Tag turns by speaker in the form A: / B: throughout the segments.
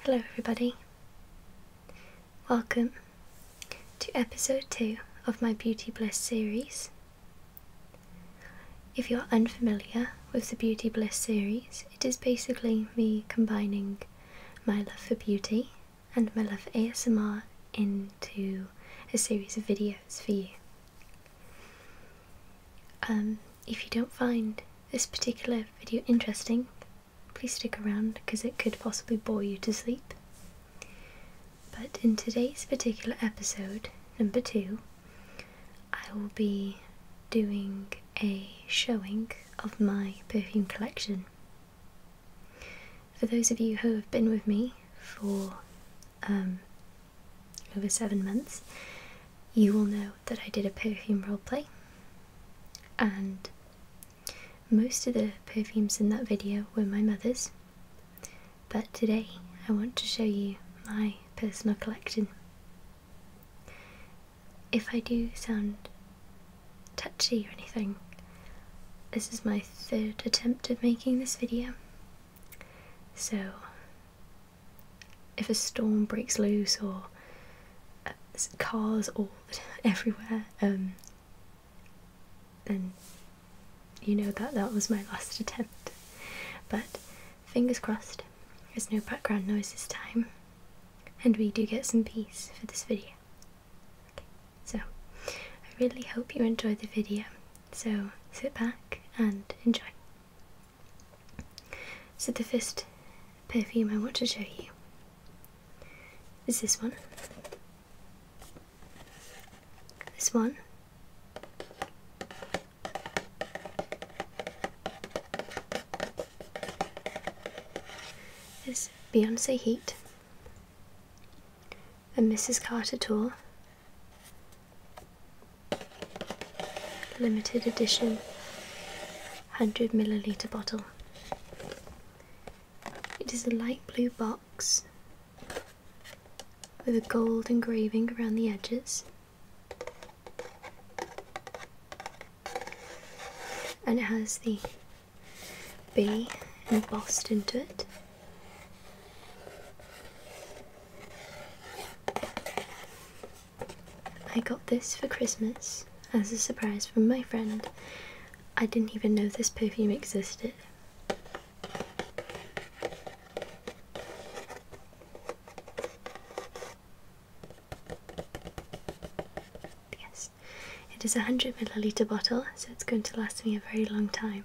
A: Hello, everybody. Welcome to episode 2 of my Beauty Bliss series. If you're unfamiliar with the Beauty Bliss series, it is basically me combining my love for beauty and my love for ASMR into a series of videos for you. Um, if you don't find this particular video interesting, please stick around because it could possibly bore you to sleep. But in today's particular episode, number two, I will be doing a showing of my perfume collection. For those of you who have been with me for um, over seven months, you will know that I did a perfume roleplay, and most of the perfumes in that video were my mother's. But today I want to show you my personal collection. If I do sound touchy or anything, this is my third attempt at making this video, so if a storm breaks loose or uh, cars all everywhere, um, then you know that that was my last attempt. But fingers crossed, there's no background noise this time, and we do get some peace for this video. so I really hope you enjoyed the video. So sit back and enjoy. So, the first perfume I want to show you is this one. This one. Is Beyonce Heat, and Mrs. Carter tour, limited edition 100 milliliter bottle. It is a light blue box with a gold engraving around the edges. And it has the B embossed into it. I got this for Christmas as a surprise from my friend. I didn't even know this perfume existed. Yes, it is a 100 milliliter bottle, so it's going to last me a very long time.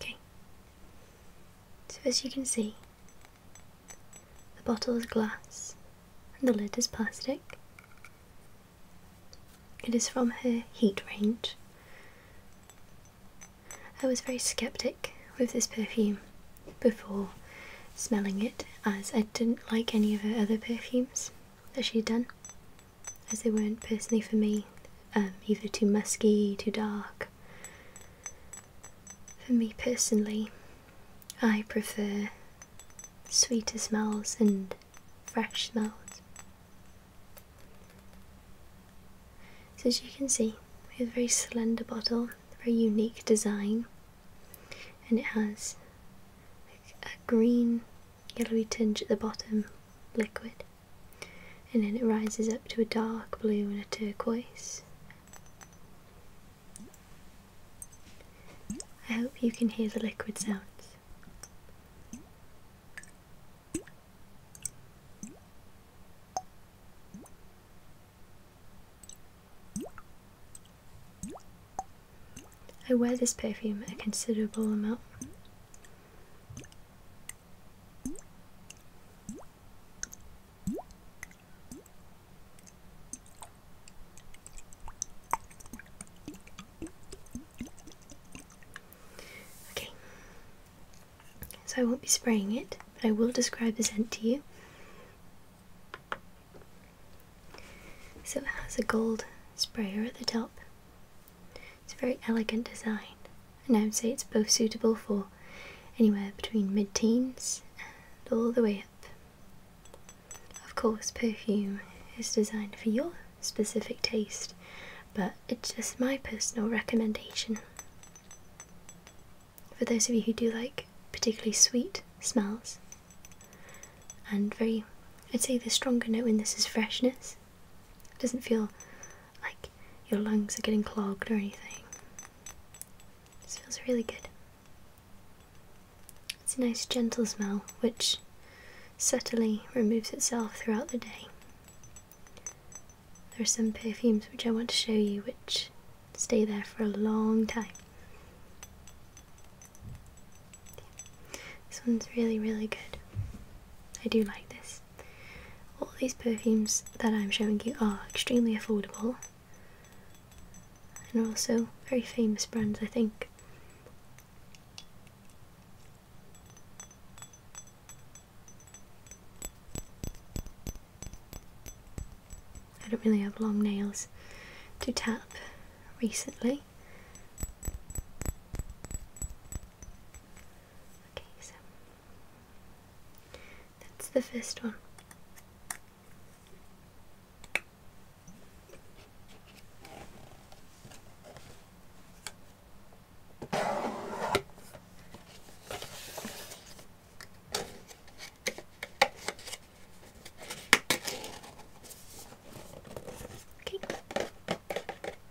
A: Okay, so as you can see, the bottle is glass and the lid is plastic. It is from her heat range. I was very skeptic with this perfume before smelling it, as I didn't like any of her other perfumes that she'd done, as they weren't personally for me, um, either too musky, too dark. For me personally, I prefer sweeter smells and fresh smells. So as you can see, it's a very slender bottle, very unique design, and it has a green yellowy tinge at the bottom liquid, and then it rises up to a dark blue and a turquoise. I hope you can hear the liquid sounds. I wear this perfume a considerable amount. Okay, so I won't be spraying it, but I will describe the scent to you. So it has a gold sprayer at the top. It's a very elegant design, and I would say it's both suitable for anywhere between mid teens and all the way up. Of course, perfume is designed for you specific taste, but it's just my personal recommendation. For those of you who do like particularly sweet smells, and very, I'd say the stronger note in this is freshness. doesn't feel like your lungs are getting clogged or anything. This feels really good. It's a nice gentle smell, which subtly removes itself throughout the day. There are some perfumes which I want to show you which stay there for a long time. This one's really, really good. I do like this. All these perfumes that I'm showing you are extremely affordable and are also very famous brands, I think. I don't really have long nails to tap recently. Okay, so that's the first one.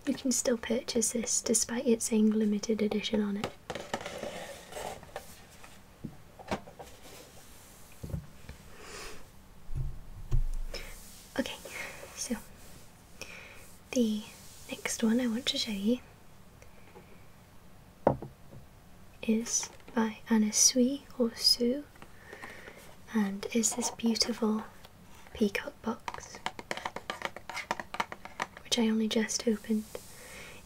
A: You can still purchase this despite it saying limited edition on it. Okay, so the next one I want to show you is by Anna Sui or Sue and is this beautiful peacock box which I only just opened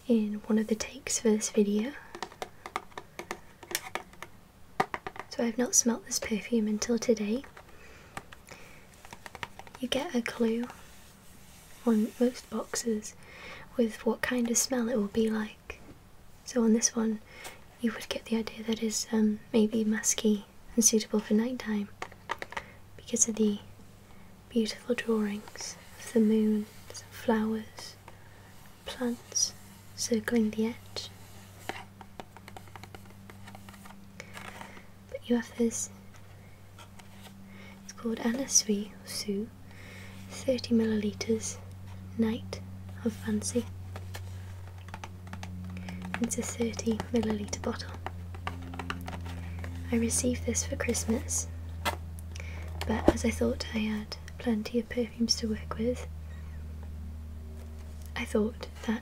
A: in one of the takes for this video so I've not smelt this perfume until today. You get a clue on most boxes with what kind of smell it will be like. So on this one, you would get the idea that it's um, maybe musky and suitable for nighttime because of the beautiful drawings of the moon, flowers, plants, circling the edge. But you have this, it's called Anasui or Su, 30 millilitres, Night of Fancy. It's a 30 millilitre bottle. I received this for Christmas, but as I thought I had plenty of perfumes to work with, I thought that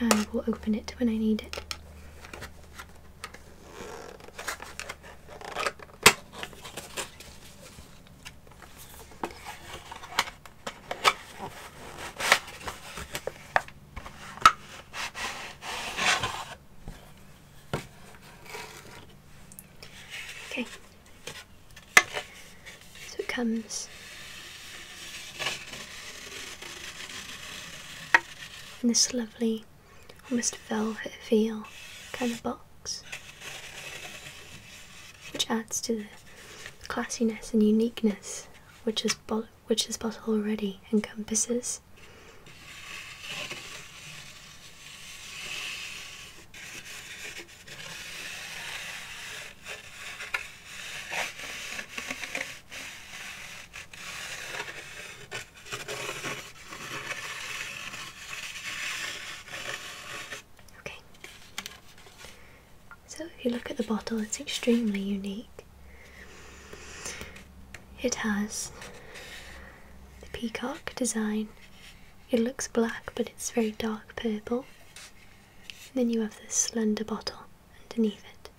A: I will open it when I need it. Okay, so it comes in this lovely, almost velvet feel kind of box, which adds to the classiness and uniqueness which this bottle already encompasses. Okay. So, if you look at the bottle, it's extremely unique. It has the peacock design. It looks black, but it's very dark purple. Then you have this slender bottle underneath it.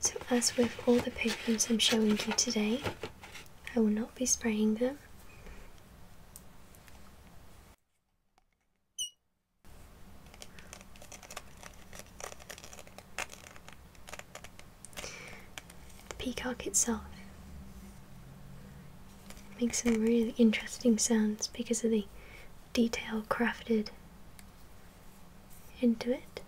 A: So as with all the perfumes I'm showing you today, I will not be spraying them. The peacock itself makes some really interesting sounds because of the detail crafted into it.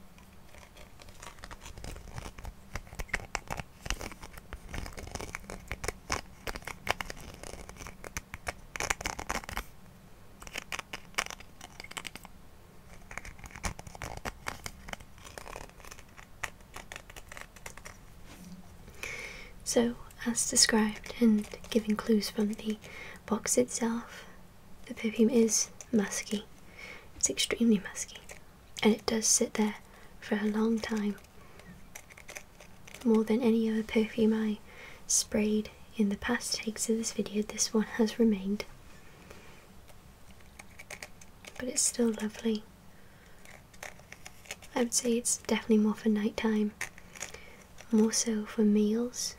A: So, as described and giving clues from the box itself, the perfume is musky. It's extremely musky and it does sit there for a long time. More than any other perfume I sprayed in the past takes of this video, this one has remained. But it's still lovely. I would say it's definitely more for nighttime, more so for meals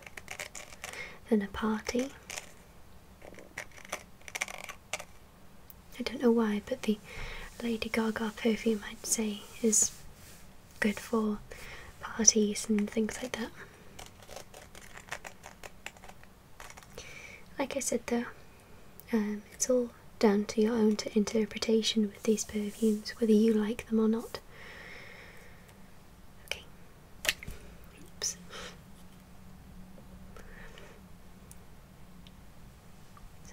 A: than a party. I don't know why, but the Lady Gaga perfume, I'd say, is good for parties and things like that. Like I said though, um, it's all down to your own interpretation with these perfumes, whether you like them or not. Okay. Oops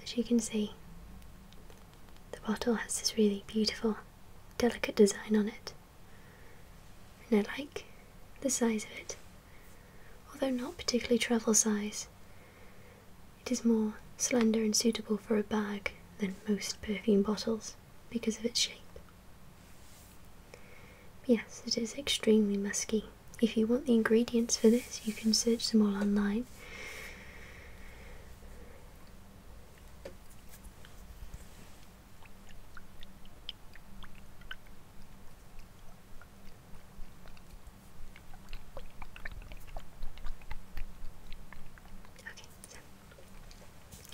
A: as you can see, the bottle has this really beautiful, delicate design on it. And I like the size of it, although not particularly travel size. It is more slender and suitable for a bag than most perfume bottles because of its shape. yes, it is extremely musky. If you want the ingredients for this, you can search them all online.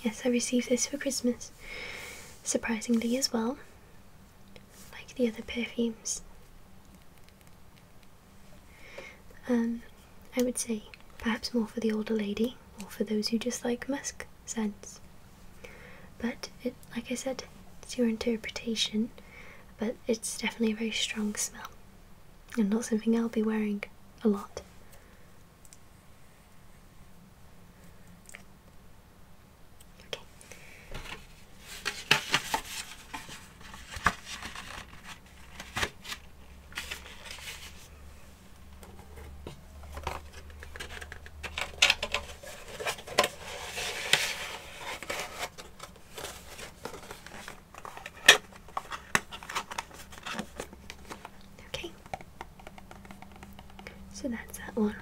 A: Yes, I received this for Christmas, surprisingly, as well, like the other perfumes. Um, I would say perhaps more for the older lady or for those who just like musk scents. But it, like I said, it's your interpretation. But it's definitely a very strong smell, and not something I'll be wearing a lot. Okay. Okay, so that's that one.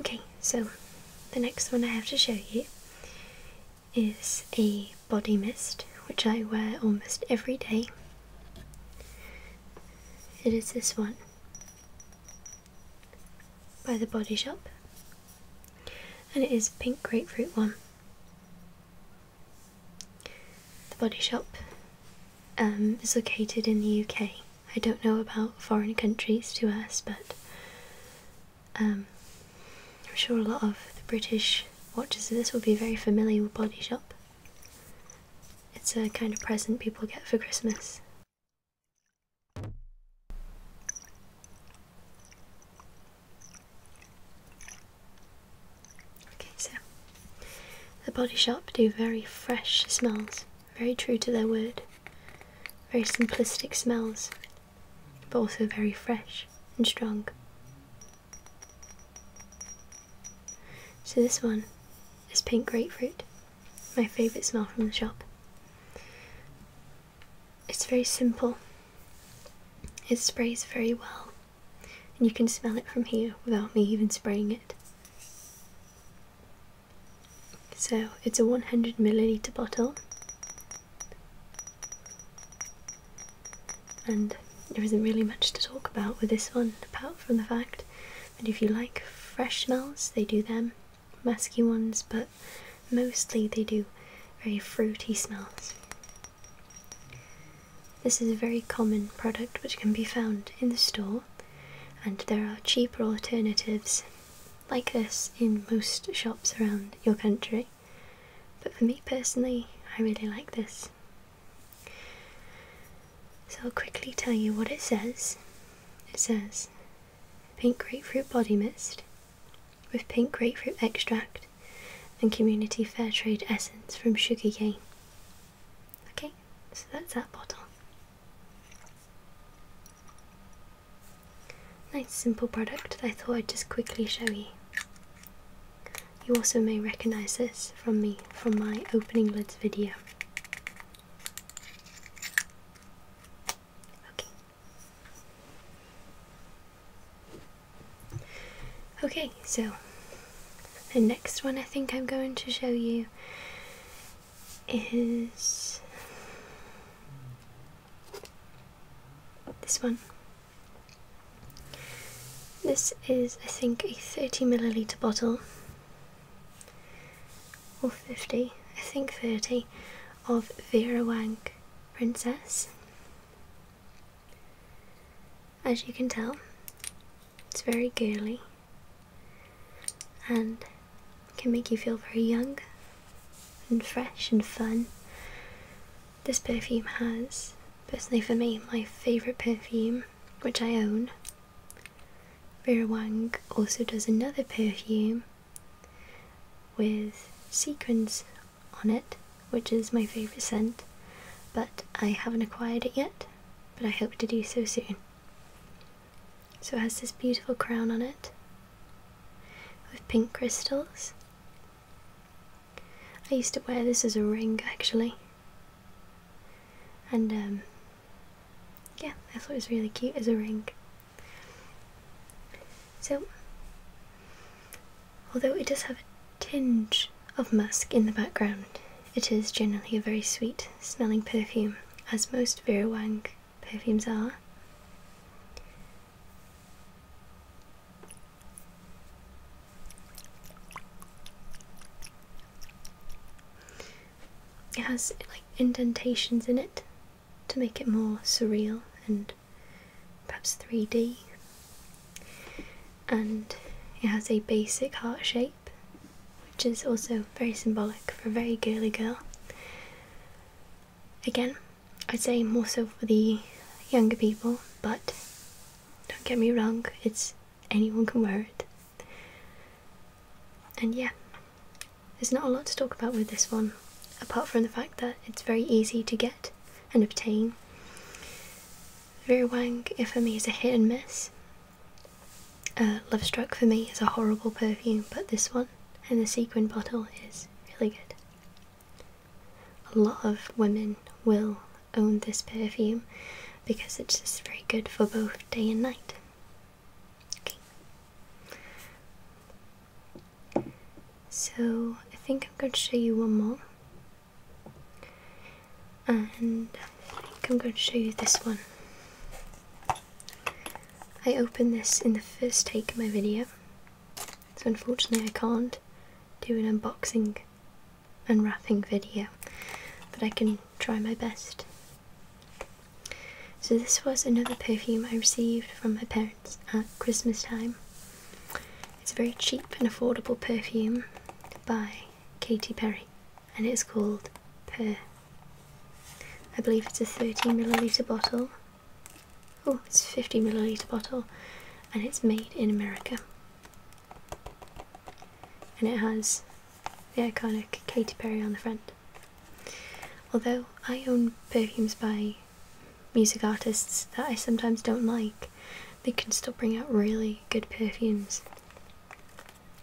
A: Okay. so the next one I have to show you is a body mist which I wear almost every day. It is this one by the Body Shop and it is pink grapefruit one. The Body Shop um, is located in the UK. I don't know about foreign countries to us, but um, I'm sure a lot of the British watches of this will be very familiar with Body Shop. It's a kind of present people get for Christmas. Okay, so the Body Shop do very fresh smells, very true to their word, very simplistic smells, but also very fresh and strong. So this one is pink grapefruit, my favourite smell from the shop. It's very simple. It sprays very well and you can smell it from here without me even spraying it. So it's a 100 milliliter bottle. And there isn't really much to talk about with this one apart from the fact that if you like fresh smells, they do them, musky ones, but mostly they do very fruity smells. This is a very common product which can be found in the store, and there are cheaper alternatives like this in most shops around your country. But for me personally, I really like this. So I'll quickly tell you what it says. It says pink grapefruit body mist with pink grapefruit extract and Community Fair Trade Essence from Sugarcane. Okay, so that's that bottle. Nice simple product that I thought I'd just quickly show you. You also may recognise this from me from my opening lids video. Okay. Okay, so the next one I think I'm going to show you is this one. This is, I think, a 30 milliliter bottle or 50, I think 30, of Vera Wang Princess. As you can tell, it's very girly and can make you feel very young and fresh and fun. This perfume has, personally for me, my favourite perfume, which I own. Vera Wang also does another perfume with sequins on it, which is my favourite scent, but I haven't acquired it yet, but I hope to do so soon. So it has this beautiful crown on it with pink crystals. I used to wear this as a ring actually, and um, yeah, I thought it was really cute as a ring. So Although it does have a tinge of musk in the background, it is generally a very sweet smelling perfume, as most Vera Wang perfumes are. It has like indentations in it to make it more surreal and perhaps 3D. And it has a basic heart shape, which is also very symbolic for a very girly girl. Again, I'd say more so for the younger people, but don't get me wrong, it's anyone can wear it. And yeah, there's not a lot to talk about with this one, apart from the fact that it's very easy to get and obtain. Vera if for me, is a hit and miss. Uh, Love Struck for me is a horrible perfume, but this one and the sequin bottle is really good. A lot of women will own this perfume because it's just very good for both day and night. Okay. So I think I'm going to show you one more. And I think I'm going to show you this one. I opened this in the first take of my video, so unfortunately I can't do an unboxing unwrapping video, but I can try my best. So this was another perfume I received from my parents at Christmas time. It's a very cheap and affordable perfume by Katy Perry and it's called Per. I believe it's a 13 milliliter bottle. Oh, it's a 50 milliliter bottle and it's made in America. And it has the iconic Katy Perry on the front. Although I own perfumes by music artists that I sometimes don't like, they can still bring out really good perfumes.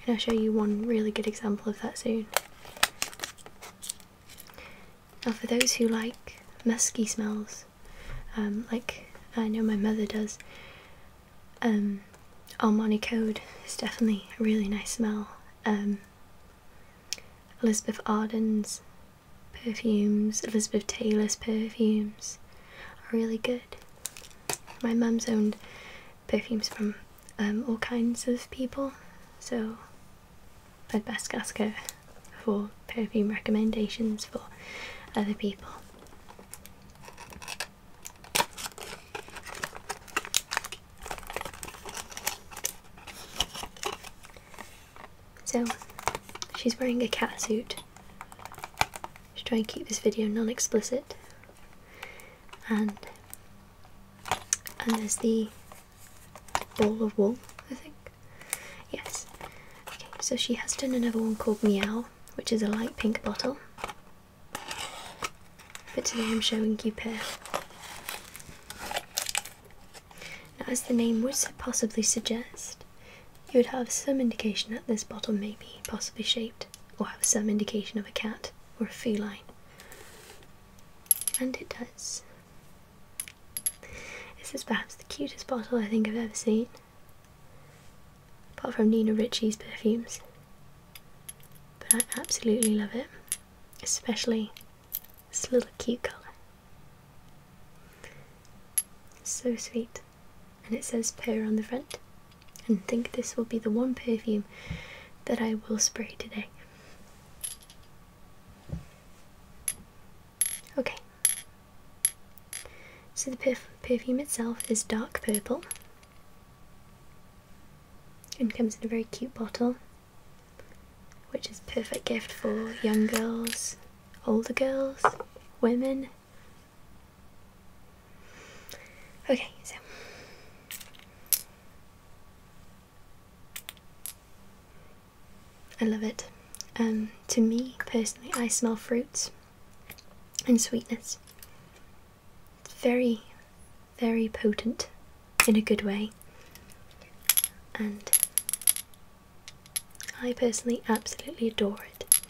A: And I'll show you one really good example of that soon. Now, for those who like musky smells, um, like I know my mother does, um, Armani Code is definitely a really nice smell. Um, Elizabeth Arden's perfumes, Elizabeth Taylor's perfumes, are really good. My mum's owned perfumes from um, all kinds of people, so I'd best ask her for perfume recommendations for other people. So, she's wearing a cat suit. Should try and keep this video non-explicit. And and there's the ball of wool, I think. Yes. Okay, so she has done another one called Meow, which is a light pink bottle. But today I'm showing you Pear. As the name would possibly suggest, you would have some indication that this bottle may be possibly shaped, or have some indication of a cat or a feline. And it does. This is perhaps the cutest bottle I think I've ever seen, apart from Nina Ritchie's perfumes. But I absolutely love it, especially this little cute colour. So sweet. And it says pear on the front. And think this will be the one perfume that I will spray today. Okay. So the perfume itself is dark purple and comes in a very cute bottle, which is perfect gift for young girls older girls, women. Okay, so. I love it. Um, to me, personally, I smell fruits and sweetness. It's very, very potent in a good way. And I personally absolutely adore it.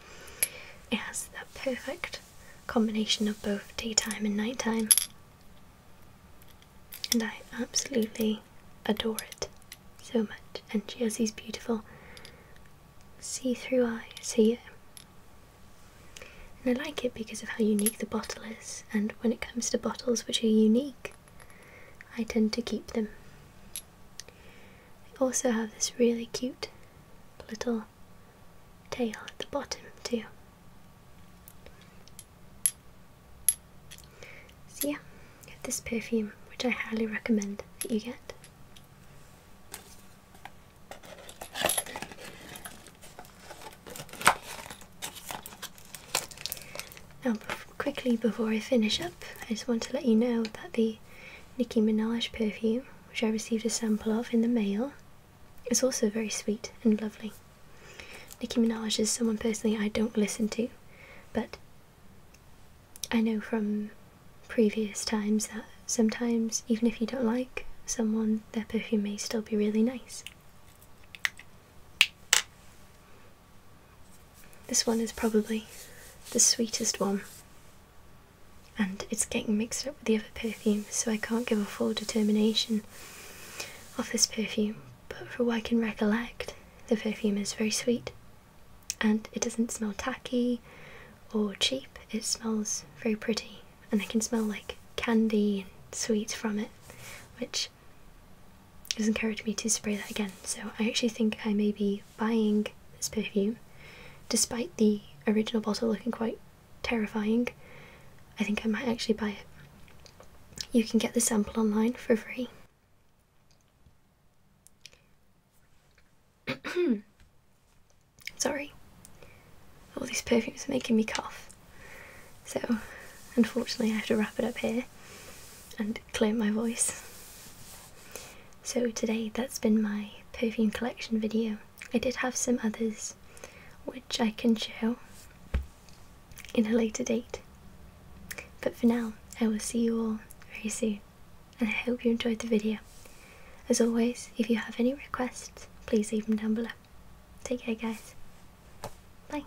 A: It has that perfect combination of both daytime and nighttime, and I absolutely adore it so much. And she has these beautiful see through eyes here. And I like it because of how unique the bottle is, and when it comes to bottles which are unique, I tend to keep them. They also have this really cute little tail at the bottom too. See, yeah, get this perfume which I highly recommend that you get. Now, quickly before I finish up, I just want to let you know that the Nicki Minaj perfume, which I received a sample of in the mail, is also very sweet and lovely. Nicki Minaj is someone personally I don't listen to, but I know from previous times that sometimes, even if you don't like someone, their perfume may still be really nice. This one is probably the sweetest one, and it's getting mixed up with the other perfume, so I can't give a full determination of this perfume. But for what I can recollect, the perfume is very sweet and it doesn't smell tacky or cheap, it smells very pretty, and I can smell like candy and sweet from it, which which has encouraged me to spray that again. So I actually think I may be buying this perfume, despite the original bottle looking quite terrifying. I think I might actually buy it. You can get the sample online for free. Sorry, all these perfumes are making me cough. So, unfortunately, I have to wrap it up here and Clear my voice. So today that's been my perfume collection video. I did have some others which I can show in a later date. But for now, I will see you all very soon and I hope you enjoyed the video. As always, if you have any requests, please leave them down below. Take care guys. Bye.